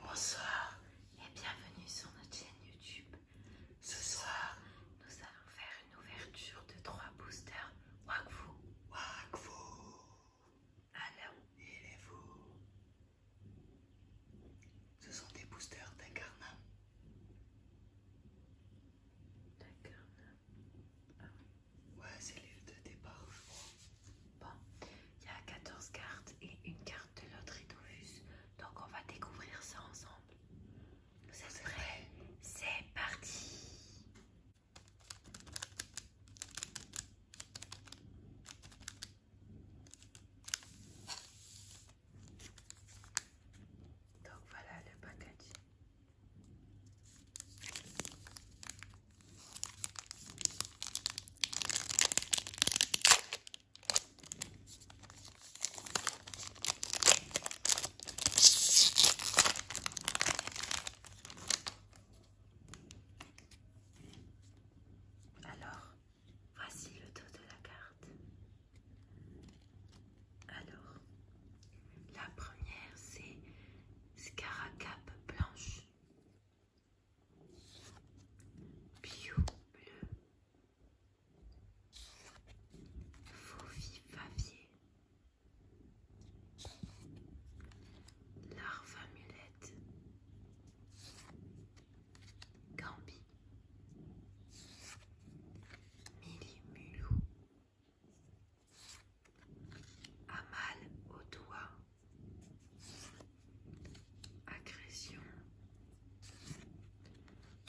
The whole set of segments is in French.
Bonsoir et bienvenue sur notre chaîne YouTube. Ce soir, nous allons faire une ouverture de trois boosters Wakfu. Wakfu Alors, il est vous. Ce sont des boosters d'Incarnam. D'Incarnam ah. Ouais, c'est l'île de départ, je crois. Bon, il y a 14 cartes et une carte de l'autre fus. Donc on va découvrir ça ensemble. Vous êtes prêts C'est parti donc voilà le packaging. Alors, voici le dos de la carte. Alors, la première c'est Scaracap blanche. Bio bleu. Faux favier. Larva Mulette Gambi. Mulou Amal au doigt, agression,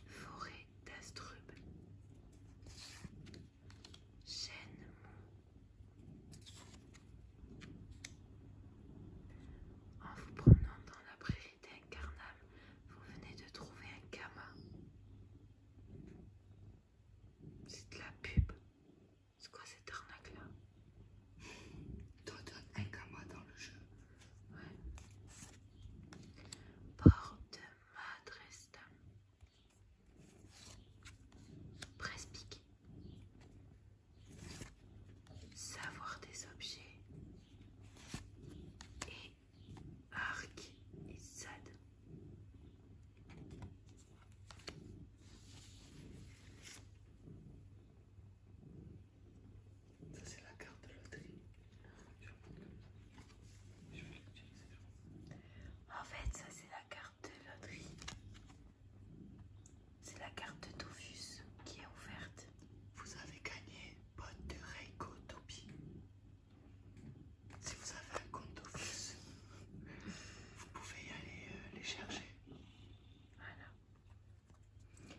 forêt d'astrube, chêne En vous promenant dans la prairie d'Incarnam, vous venez de trouver un kama. C'est de la pub. C'est quoi cette arnaque là Toi un qu'à dans le jeu. Ouais. Porte Madresta. Prespique Savoir des objets. Et arc et sad. Ça c'est la carte de loterie. En fait, ça c'est la carte de loterie. C'est la carte de Dofus qui est ouverte. Vous avez gagné Botte de Reiko si vous avez un compte Office, vous pouvez y aller euh, les chercher. Voilà. Il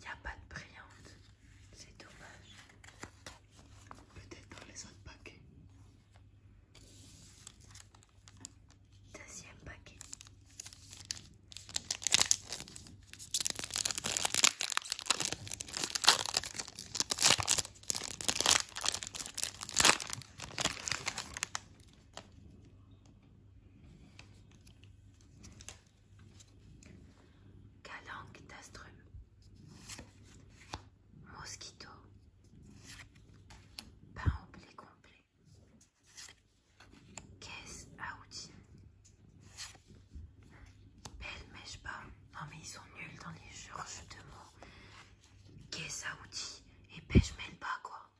n'y a pas de brillante, c'est dommage. Peut-être dans les autres paquets. Deuxième paquet. Calanque d'astrum, mosquito, pain au blé complet, caisse à outils, belle mèche pas. Non mais ils sont nuls dans les jeux de mots. Qu'est-ce à outils et pêche mêle pas quoi.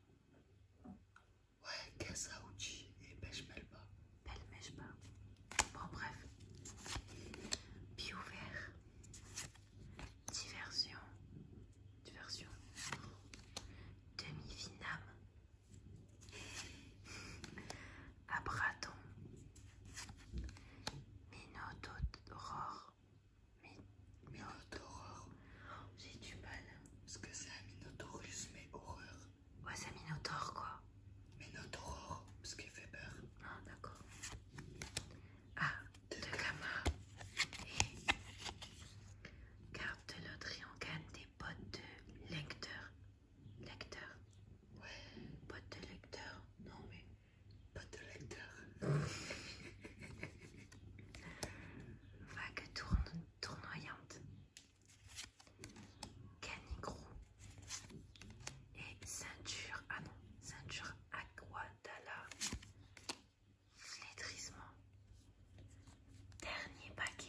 Ouais, qu'est-ce à outils et pêche mêle pas. Belle mèche pas. Bon bref. Pied ouvert. Diversion. Diversion. Demi-finame. Abraton. Minotaur, Minotaur, J'ai du mal. Parce que c'est un Minotaurus, mais horreur. Ouais, c'est un quoi. Minotaur, parce qu'il fait peur. Ah, d'accord. Ah, de, gamma Carte eh. de des potes de lecteur. Lecteur. Ouais. de lecteur. Non, mais. Pas de lecteur. Vague tourne, tournoyante. Canicro Et ceinture. Ah non, ceinture aquadala. Flétrissement. Dernier paquet.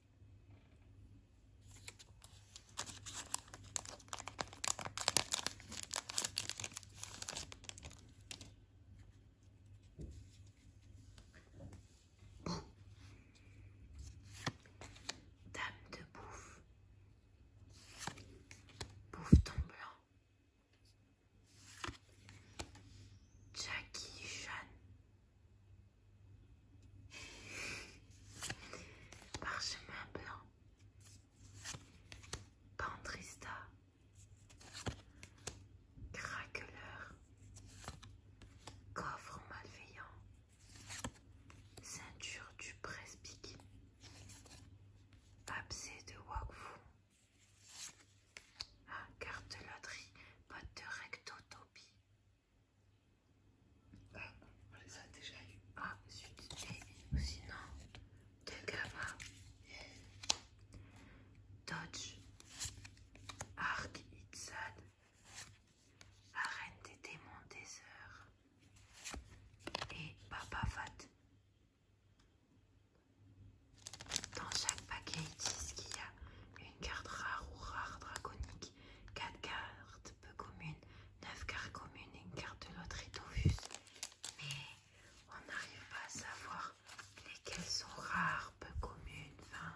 Dame de bouffe, bouffe blanc, Jackie Chan, Parchemin blanc. Pantrista. Craqueleur. Coffre malveillant. Ceinture du presby, Abcès de Wakfu. Ah, carte de loterie, de rectotopie, ah, on les a déjà eu. Ah, zut. Et sinon, Tegava, Dodge, Ark Itzad, Arène des démons des heures et Papa Fat. Dans chaque paquet, ils disent qu'il y a une carte rare ou rare draconique. 4 cartes peu communes, 9 cartes communes et une carte de au Dovus. Mais on n'arrive pas à savoir lesquelles sont rares, peu communes, enfin,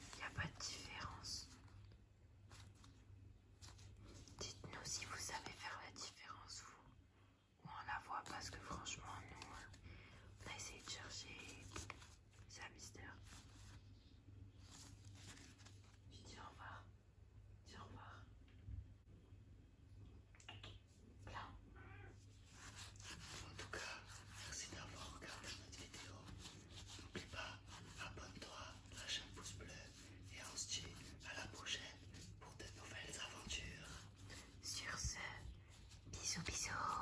il n'y a pas de différence. Dites-nous si vous savez faire la différence, vous, ou on la voit parce que franchement, nous, on a essayé de chercher, c'est un mystère. Je dis au revoir. Dis au revoir. Là. En tout cas, merci d'avoir regardé notre vidéo. N'oublie pas, abonne-toi, lâche un pouce bleu et on se dit à la prochaine pour de nouvelles aventures. Sur ce, bisous bisous